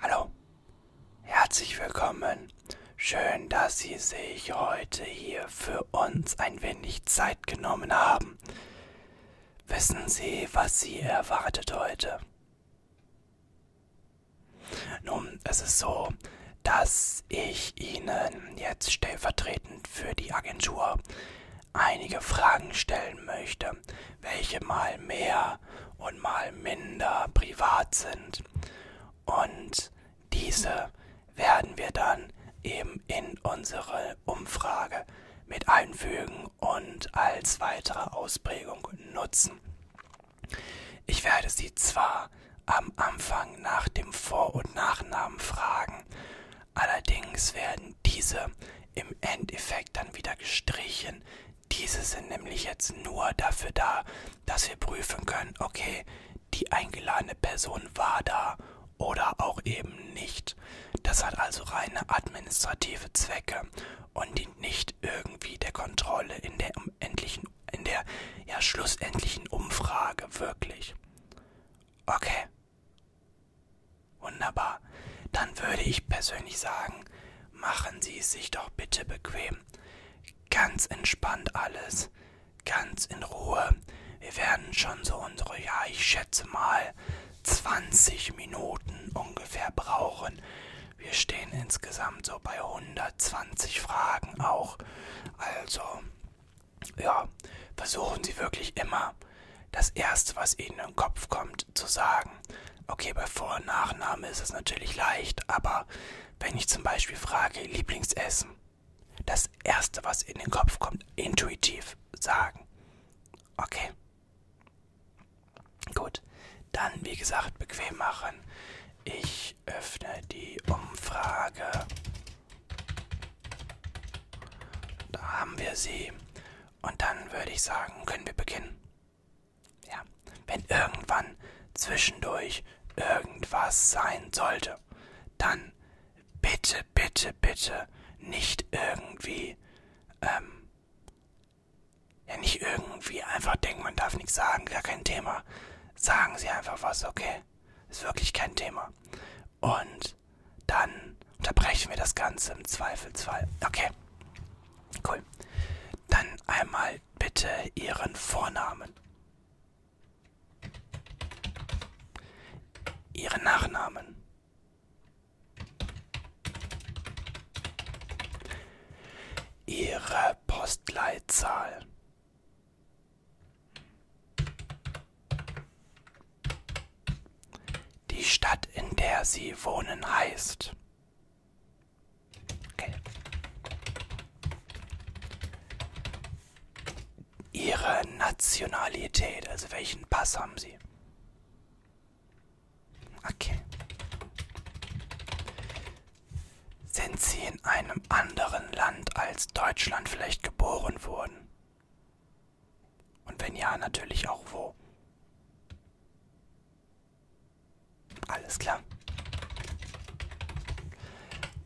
Hallo, herzlich willkommen. Schön, dass Sie sich heute hier für uns ein wenig Zeit genommen haben. Wissen Sie, was Sie erwartet heute? Nun, es ist so, dass ich Ihnen jetzt stellvertretend für die Agentur einige Fragen stellen möchte. Tiere, welche mal mehr und mal minder privat sind. Und diese werden wir dann eben in unsere Umfrage mit einfügen und als weitere Ausprägung nutzen. Ich werde Sie zwar am Anfang nach dem Vor- und Nachnamen fragen, allerdings werden diese im Endeffekt dann wieder gestrichen, diese sind nämlich jetzt nur dafür da, dass wir prüfen können, okay, die eingeladene Person war da oder auch eben nicht. Das hat also reine administrative Zwecke und dient nicht irgendwie der Kontrolle in der endlichen, in der ja schlussendlichen Umfrage wirklich. Okay. Wunderbar. Dann würde ich persönlich sagen, Machen Sie es sich doch bitte bequem. Ganz entspannt alles. Ganz in Ruhe. Wir werden schon so unsere, ja, ich schätze mal, 20 Minuten ungefähr brauchen. Wir stehen insgesamt so bei 120 Fragen auch. Also, ja, versuchen Sie wirklich immer das Erste, was Ihnen in den Kopf kommt, zu sagen. Okay, bei Vor- und Nachname ist es natürlich leicht, aber wenn ich zum Beispiel frage, Lieblingsessen, das Erste, was in den Kopf kommt, intuitiv sagen. Okay. Gut. Dann, wie gesagt, bequem machen. Ich öffne die Umfrage. Da haben wir sie. Und dann würde ich sagen, können wir beginnen. Ja, wenn irgendwann zwischendurch irgendwas sein sollte, dann bitte, bitte, bitte nicht irgendwie, ähm, ja, nicht irgendwie einfach denken, man darf nichts sagen, gar kein Thema. Sagen Sie einfach was, okay? Ist wirklich kein Thema. Und dann unterbrechen wir das Ganze im Zweifelsfall. Okay. Cool. Dann einmal bitte Ihren Vornamen. Ihren Nachnamen. Ihre Postleitzahl. Die Stadt, in der Sie wohnen, heißt. Okay. Ihre Nationalität, also welchen Pass haben Sie? Okay. Sind Sie in einem anderen Land als Deutschland vielleicht geboren worden? Und wenn ja, natürlich auch wo? Alles klar.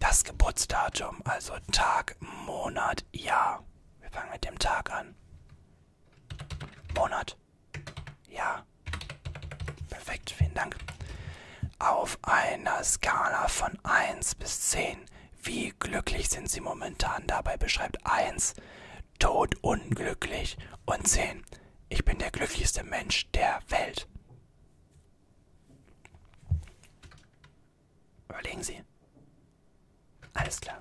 Das Geburtsdatum, also Tag, Monat, Jahr. Wir fangen mit dem Tag an. Monat. Jahr. Perfekt, vielen Dank. Auf einer Skala von 1 bis 10. Wie glücklich sind Sie momentan? Dabei beschreibt 1 todunglücklich. Und 10. Ich bin der glücklichste Mensch der Welt. Überlegen Sie. Alles klar.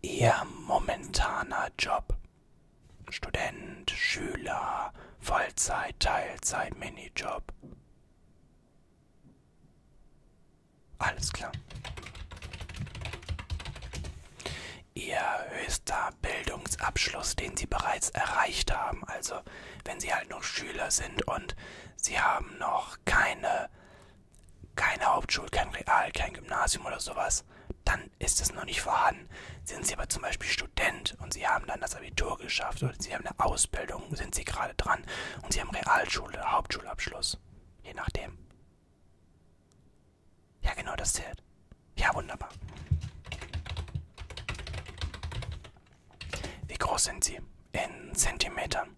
Ihr momentaner Job. Student, Schüler, Vollzeit, Teilzeit, Minijob. Alles klar ihr höchster Bildungsabschluss, den sie bereits erreicht haben. Also wenn sie halt noch Schüler sind und sie haben noch keine, keine Hauptschule, kein Real, kein Gymnasium oder sowas, dann ist es noch nicht vorhanden. Sind sie aber zum Beispiel Student und sie haben dann das Abitur geschafft oder sie haben eine Ausbildung, sind sie gerade dran und sie haben Realschule oder Hauptschulabschluss, je nachdem. Ja, genau das zählt. Ja, wunderbar. Wie groß sind sie? In Zentimetern.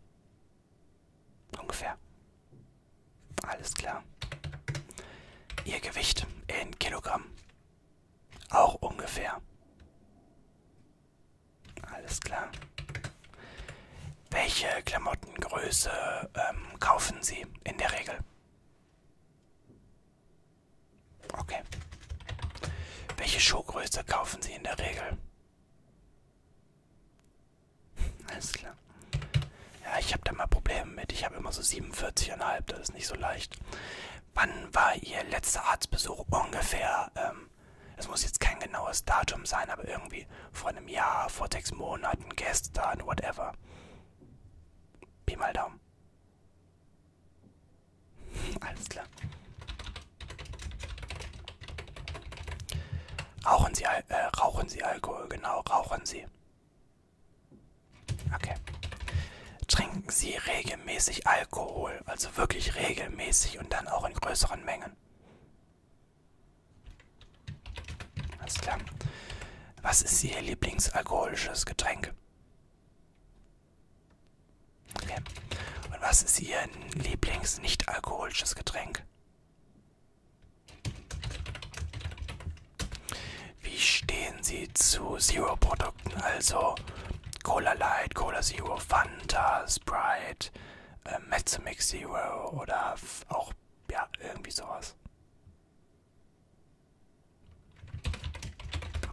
Ungefähr. Alles klar. Ihr Gewicht in Kilogramm. Auch ungefähr. Alles klar. Welche Klamottengröße ähm, kaufen Sie in der Regel? Okay. Welche Schuhgröße kaufen Sie in der Regel? Alles klar. Ja, ich habe da mal Probleme mit. Ich habe immer so 47,5. Das ist nicht so leicht. Wann war Ihr letzter Arztbesuch ungefähr? Ähm, es muss jetzt kein genaues Datum sein, aber irgendwie vor einem Jahr, vor sechs Monaten, gestern, whatever. Pi mal Daumen. Alles klar. Rauchen Sie, äh, rauchen Sie Alkohol, genau, rauchen Sie. Okay. Trinken Sie regelmäßig Alkohol, also wirklich regelmäßig und dann auch in größeren Mengen. Alles klar. Was ist Ihr Lieblingsalkoholisches Getränk? Okay. Und was ist Ihr Lieblings-nicht-alkoholisches Getränk? Wie stehen Sie zu Zero-Produkten, also Cola Light, Cola Zero, Fanta, Sprite, äh, Mezzomix Zero oder auch, ja, irgendwie sowas?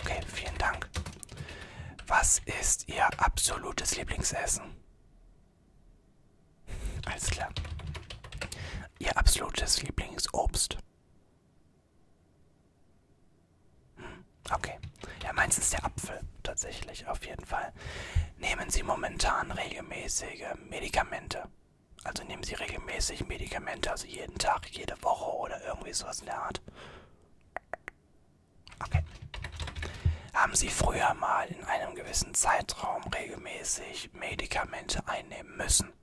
Okay, vielen Dank. Was ist Ihr absolutes Lieblingsessen? Alles klar. Ihr absolutes Lieblingsobst? Hm, okay. Ja, meins ist der Apfel tatsächlich, auf jeden Fall. Nehmen Sie momentan regelmäßige Medikamente? Also nehmen Sie regelmäßig Medikamente, also jeden Tag, jede Woche oder irgendwie sowas in der Art. Okay. Haben Sie früher mal in einem gewissen Zeitraum regelmäßig Medikamente einnehmen müssen?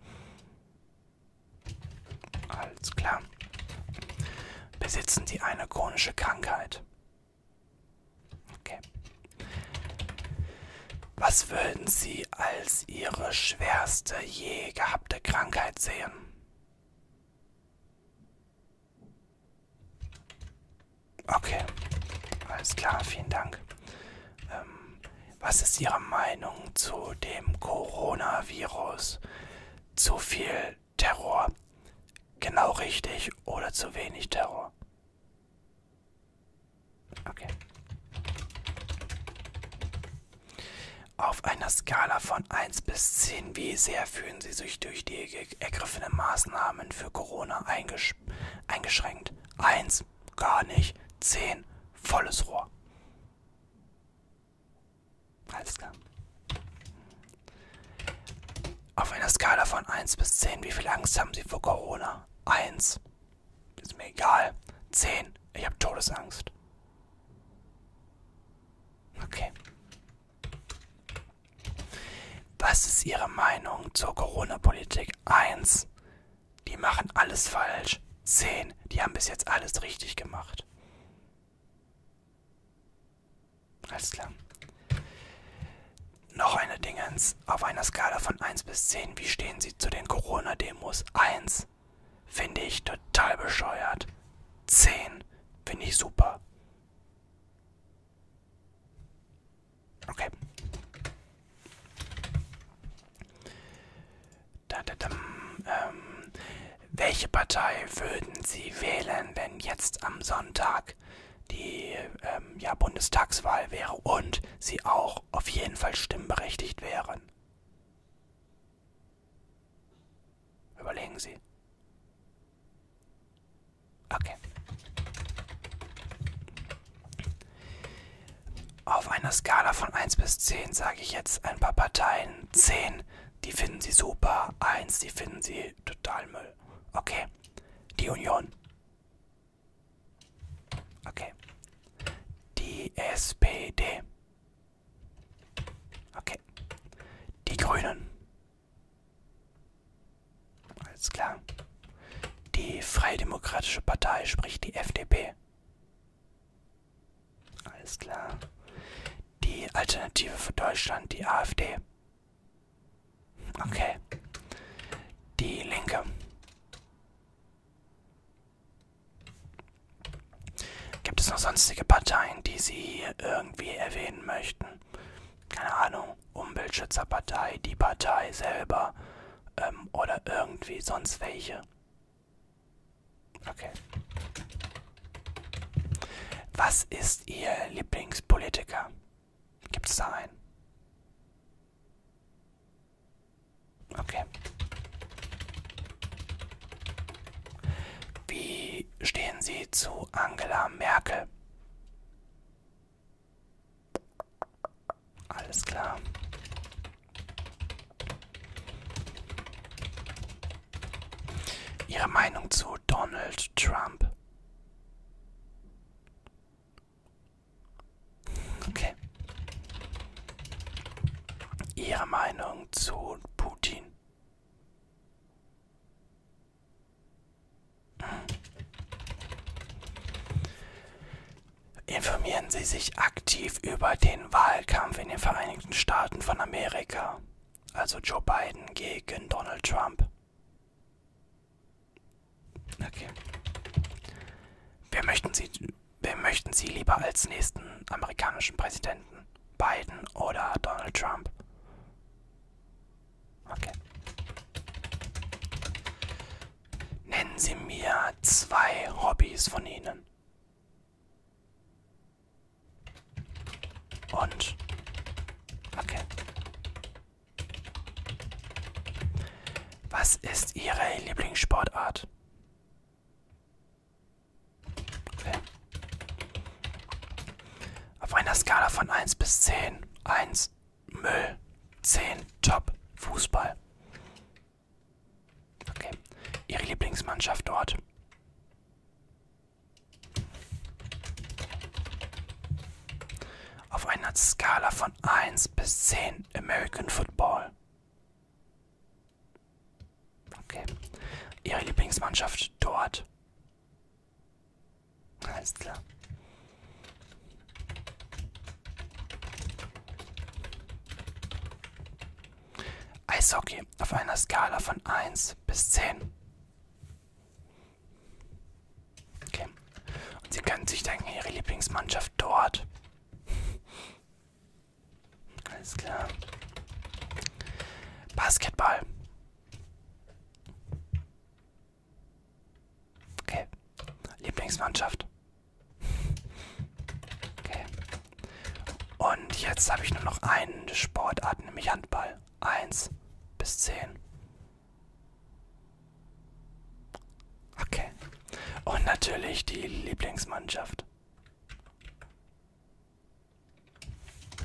Alles klar. Besitzen Sie eine chronische Krankheit? Okay. Was würden Sie als Ihre schwerste je gehabte Krankheit sehen? Okay, alles klar, vielen Dank. Ähm, was ist Ihre Meinung zu dem Coronavirus? Zu viel Terror? Genau richtig oder zu wenig Terror? Okay. Auf einer Skala von 1 bis 10, wie sehr fühlen Sie sich durch die ergriffenen Maßnahmen für Corona eingesch eingeschränkt? 1, gar nicht. 10, volles Rohr. Alles klar. Auf einer Skala von 1 bis 10, wie viel Angst haben Sie vor Corona? 1, ist mir egal. 10. Ich habe Todesangst. Okay. Was ist Ihre Meinung zur Corona-Politik? 1. Die machen alles falsch. 10. Die haben bis jetzt alles richtig gemacht. Alles klar. Noch eine Dingens. Auf einer Skala von 1 bis 10, wie stehen Sie sie zu den Corona-Demos. 1. Finde ich total bescheuert. 10. Finde ich super. Okay. Da, da, da, ähm, welche Partei würden Sie wählen, wenn jetzt am Sonntag die äh, ähm, ja, Bundestagswahl wäre und sie auch auf jeden Fall stimmberechtigt wären. Überlegen Sie. Okay. Auf einer Skala von 1 bis 10 sage ich jetzt ein paar Parteien. 10, die finden sie super. 1, die finden sie total Müll. Okay. Die Union. Okay. Die SPD. Okay. Die Grünen. Alles klar. Die Freie Demokratische Partei, sprich die FDP. Alles klar. Die Alternative für Deutschland, die AfD. Okay. Die Linke. Gibt es noch sonstige Parteien, die Sie irgendwie erwähnen möchten? Keine Ahnung, Umweltschützerpartei, die Partei selber ähm, oder irgendwie sonst welche. Okay. Was ist Ihr Lieblingspolitiker? Gibt es da einen? Okay. Wie stehen Sie zu Angela Merkel? Alles klar. Ihre Meinung zu Donald Trump? Okay. Ihre Meinung zu Putin? Hm. Informieren Sie sich aktiv über den Wahlkampf in den Vereinigten Staaten von Amerika, also Joe Biden gegen Donald Trump. Okay. Wer möchten Sie, wer möchten Sie lieber als nächsten amerikanischen Präsidenten? Biden oder Donald Trump? Okay. Nennen Sie mir zwei Hobbys von Ihnen. Und. Okay. Was ist Ihre Lieblingssportart? Okay. Auf einer Skala von 1 bis 10. 1 Müll, 10 Top Fußball. Okay. Ihre Lieblingsmannschaft dort. Auf einer Skala von 1 bis 10. American Football. Okay. Ihre Lieblingsmannschaft dort. Alles klar. Eishockey auf einer Skala von 1 bis 10. Okay. Und Sie können sich denken, Ihre Lieblingsmannschaft dort alles klar. Basketball. Okay. Lieblingsmannschaft. Okay. Und jetzt habe ich nur noch eine Sportart, nämlich Handball. Eins bis zehn. Okay. Und natürlich die Lieblingsmannschaft.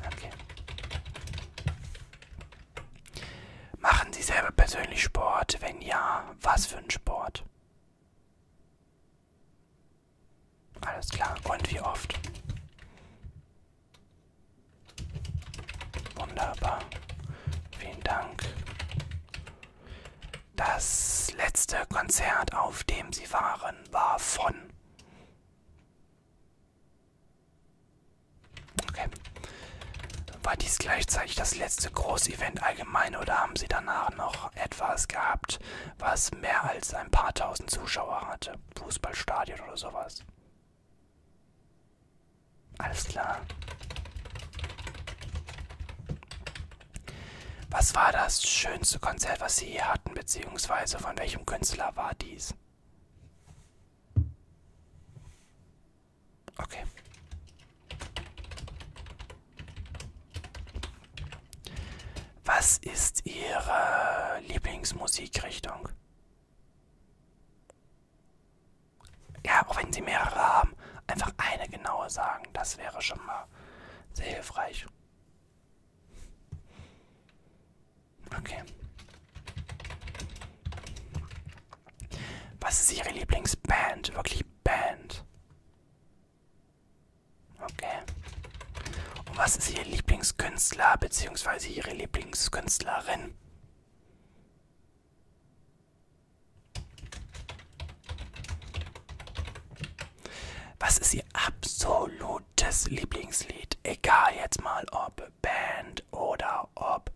Okay. Machen Sie selber persönlich Sport? Wenn ja, was für ein Sport? Alles klar. Und wie oft? Wunderbar. Vielen Dank. Das letzte Konzert, auf dem sie waren, war von. Okay. War dies gleichzeitig das letzte Großevent allgemein oder haben sie danach noch etwas gehabt, was mehr als ein paar tausend Zuschauer hatte? Fußballstadion oder sowas? Alles klar. Was war das schönste Konzert, was Sie hier hatten, beziehungsweise von welchem Künstler war dies? Okay. Was ist Ihre Lieblingsmusikrichtung? ja, auch wenn sie mehrere haben, einfach eine genaue sagen. Das wäre schon mal sehr hilfreich. Okay. Was ist Ihre Lieblingsband? Wirklich Band. Okay. Und was ist Ihr Lieblingskünstler bzw. Ihre Lieblingskünstlerin? Was ist Ihr absolutes Lieblingslied? Egal jetzt mal ob Band oder ob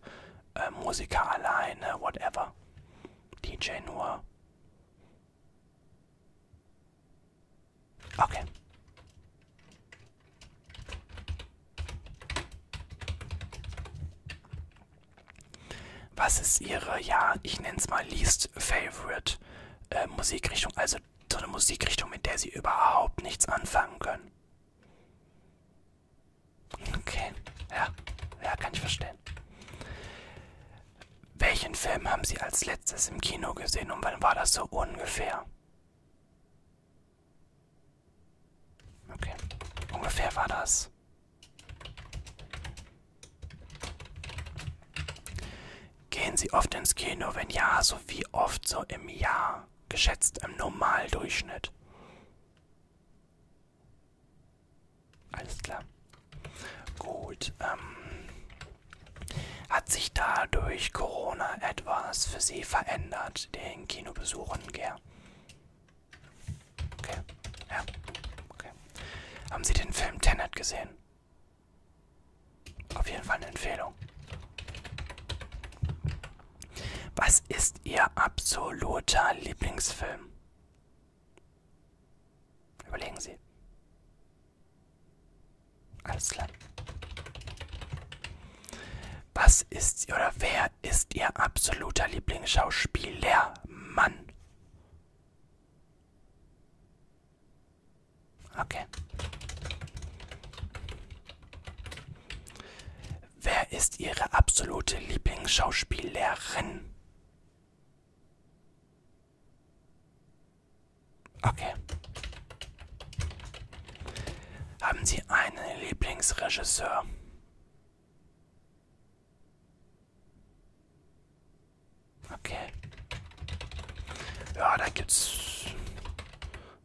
äh, Musiker alleine, whatever. DJ nur. Okay. Was ist ihre, ja, ich nenne es mal least favorite äh, Musikrichtung? Also so eine Musikrichtung, mit der sie überhaupt nichts anfangen können. Okay, ja, ja, kann ich verstehen. Welchen Film haben Sie als letztes im Kino gesehen und wann war das so ungefähr? Okay, ungefähr war das Gehen Sie oft ins Kino? Wenn ja, so wie oft so im Jahr? Geschätzt im Normaldurchschnitt. Alles klar. Gut. Ähm, hat sich da durch Corona etwas für Sie verändert, den Kinobesuchen, Ger? Okay. Ja. Okay. Haben Sie den Film Tenet gesehen? Auf jeden Fall eine Empfehlung. Was ist Ihr absoluter Lieblingsfilm? Überlegen Sie. Alles klar. Was ist oder wer Wer ist Ihr absoluter Lieblingsschauspieler? Mann. Okay. Wer ist Ihre absolute Lieblingsschauspielerin? Okay. Haben Sie einen Lieblingsregisseur? Okay. Ja, da gibt's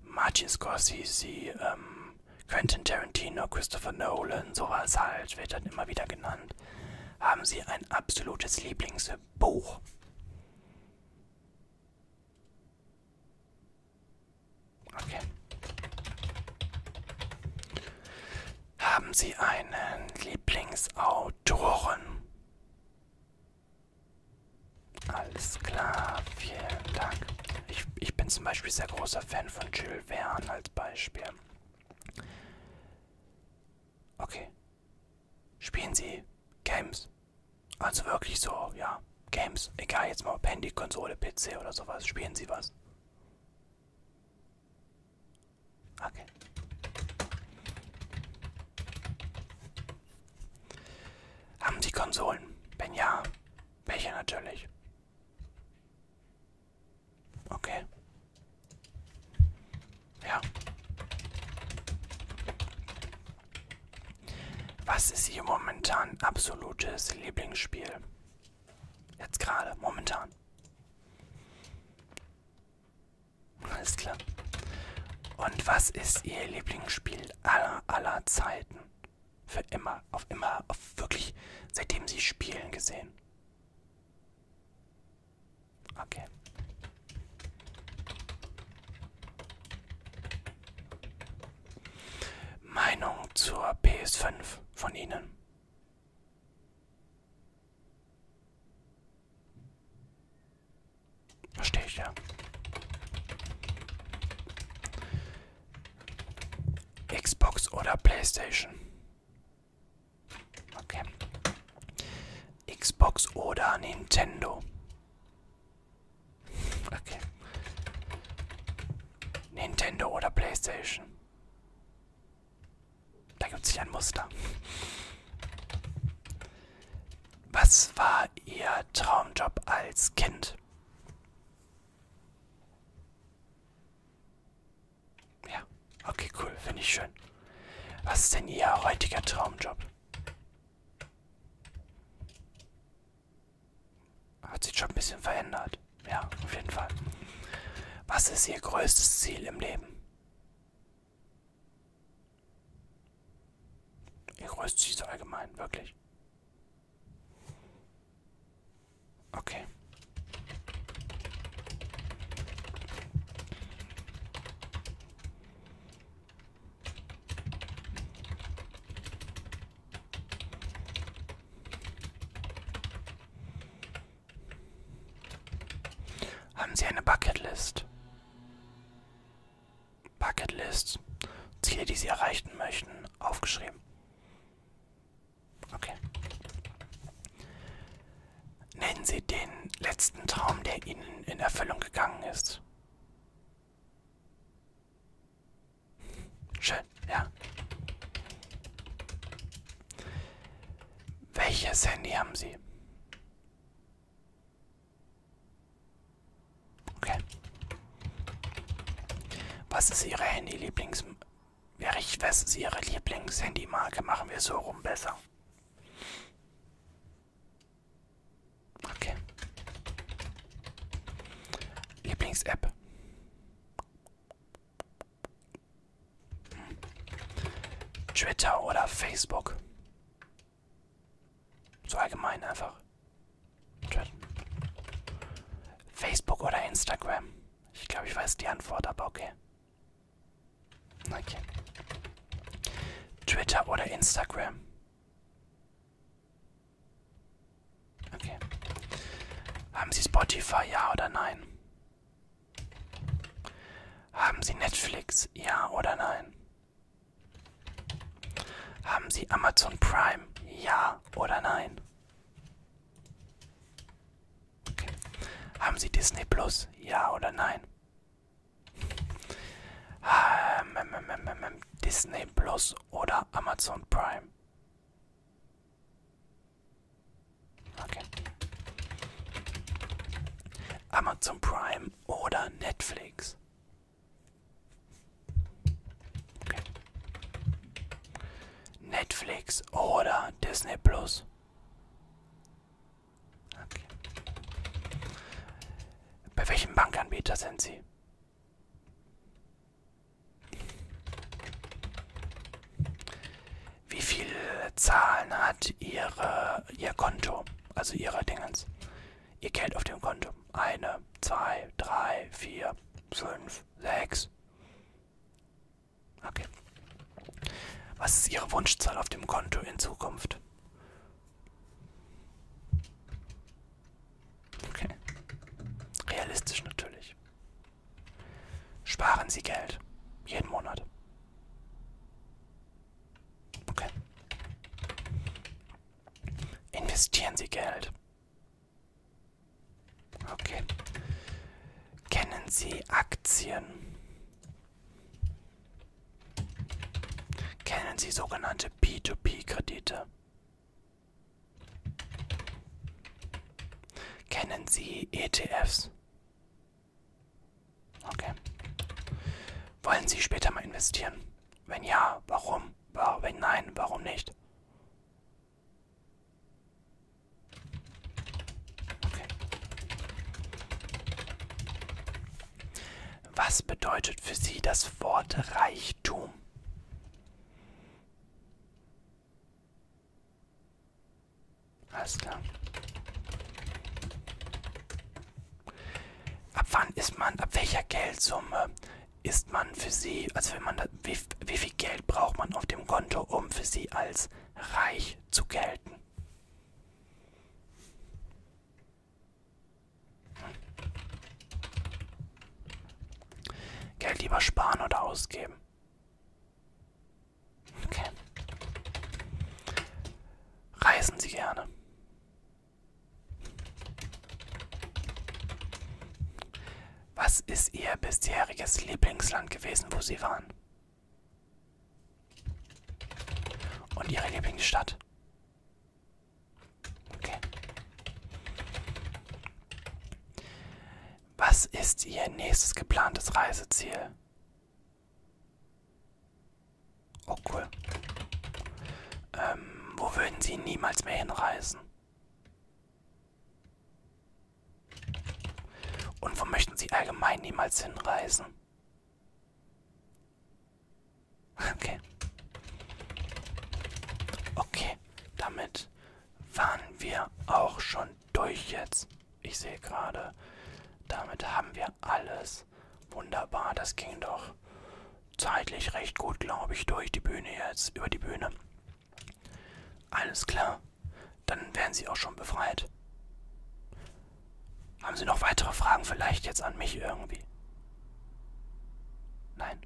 Martin Scorsese, ähm, Quentin Tarantino, Christopher Nolan, sowas halt, wird dann immer wieder genannt. Haben Sie ein absolutes Lieblingsbuch? Okay. Haben Sie einen Lieblingsautoren? Alles klar, vielen Dank. Ich, ich bin zum Beispiel sehr großer Fan von Jules Verne als Beispiel. Okay. Spielen Sie Games? Also wirklich so, ja. Games, egal jetzt mal ob Handy, Konsole, PC oder sowas. Spielen Sie was? Okay. Haben Sie Konsolen? Wenn ja, welche natürlich? Okay. Ja. Was ist Ihr momentan absolutes Lieblingsspiel? Jetzt gerade, momentan. Alles klar. Und was ist Ihr Lieblingsspiel aller, aller Zeiten? Für immer, auf immer, auf wirklich, seitdem Sie spielen gesehen. Okay. Meinung zur PS5 von Ihnen. Verstehe ich ja. Xbox oder PlayStation? Okay. Xbox oder Nintendo? Okay. Nintendo oder PlayStation? Da gibt es sich ein Muster. Was war Ihr Traumjob als Kind? Ja, okay, cool, finde ich schön. Was ist denn Ihr heutiger Traumjob? Hat sich schon ein bisschen verändert. Ja, auf jeden Fall. Was ist Ihr größtes Ziel im Leben? Ihr größtes Ziel so allgemein, wirklich. Okay. Haben Sie eine Bucketlist? Bucketlist. Ziele, die Sie erreichen möchten. Aufgeschrieben. Okay. Nennen Sie den letzten Traum, der Ihnen in Erfüllung gegangen ist. Schön, ja. Welches Handy haben Sie? Okay. Was ist Ihre Handy-Lieblings... Was ist Ihre Lieblings-Handy-Marke? Machen wir so rum besser. Okay. Lieblings-App. Twitter oder Facebook. So allgemein einfach. Facebook oder Instagram? Ich glaube, ich weiß die Antwort, aber okay. Okay. Twitter oder Instagram? Okay. Haben Sie Spotify, ja oder nein? Haben Sie Netflix, ja oder nein? Haben Sie Amazon Prime, ja oder nein? Okay. Haben Sie Disney Plus, ja oder nein? Ähm, ähm, ähm, Disney Plus oder Amazon Prime? Okay. Amazon Prime oder Netflix? Okay. Netflix oder Disney Plus? Okay. Bei welchem Bankanbieter sind Sie? Wie viele Zahlen hat ihre, ihr Konto? Also ihre Dingens. Ihr Geld auf dem Konto. Eine, zwei, drei, vier, fünf, sechs. Okay. Was ist Ihre Wunschzahl auf dem Konto in Zukunft? Okay. Realistisch natürlich. Sparen Sie Geld. Jeden Monat. Okay. Investieren Sie Geld. Okay. Kennen Sie Aktien? Kennen Sie sogenannte P2P-Kredite? Kennen Sie ETFs? Okay. Wollen Sie später mal investieren? Wenn ja, warum? Wenn nein, warum nicht? Okay. Was bedeutet für Sie das Wort Reichtum? Alles klar. Ab wann ist man, ab welcher Geldsumme ist man für sie, also wenn man da, wie, wie viel Geld braucht man auf dem Konto, um für sie als reich zu gelten? Geld lieber sparen oder ausgeben? Okay. Reisen Sie gerne. Was ist Ihr bisheriges Lieblingsland gewesen, wo Sie waren? Und Ihre Lieblingsstadt? Okay. Was ist Ihr nächstes geplantes Reiseziel? Oh cool. Ähm, wo würden Sie niemals mehr hinreisen? Und wo möchten Sie allgemein niemals hinreisen? Okay. Okay, damit waren wir auch schon durch jetzt. Ich sehe gerade, damit haben wir alles. Wunderbar, das ging doch zeitlich recht gut, glaube ich, durch die Bühne jetzt, über die Bühne. Alles klar, dann werden Sie auch schon befreit. Haben Sie noch weitere Fragen vielleicht jetzt an mich irgendwie? Nein?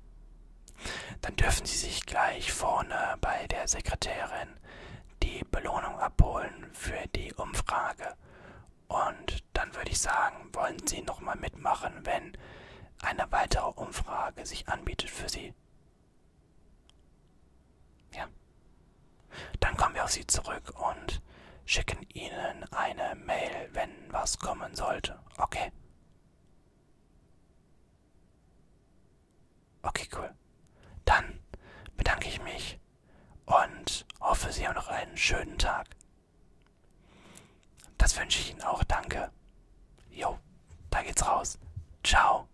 Dann dürfen Sie sich gleich vorne bei der Sekretärin die Belohnung abholen für die Umfrage. Und dann würde ich sagen, wollen Sie nochmal mitmachen, wenn eine weitere Umfrage sich anbietet für Sie. Ja. Dann kommen wir auf Sie zurück und schicken Ihnen eine Mail, wenn was kommen sollte. Okay. Okay, cool. Dann bedanke ich mich und hoffe, Sie haben noch einen schönen Tag. Das wünsche ich Ihnen auch, danke. Jo, da geht's raus. Ciao.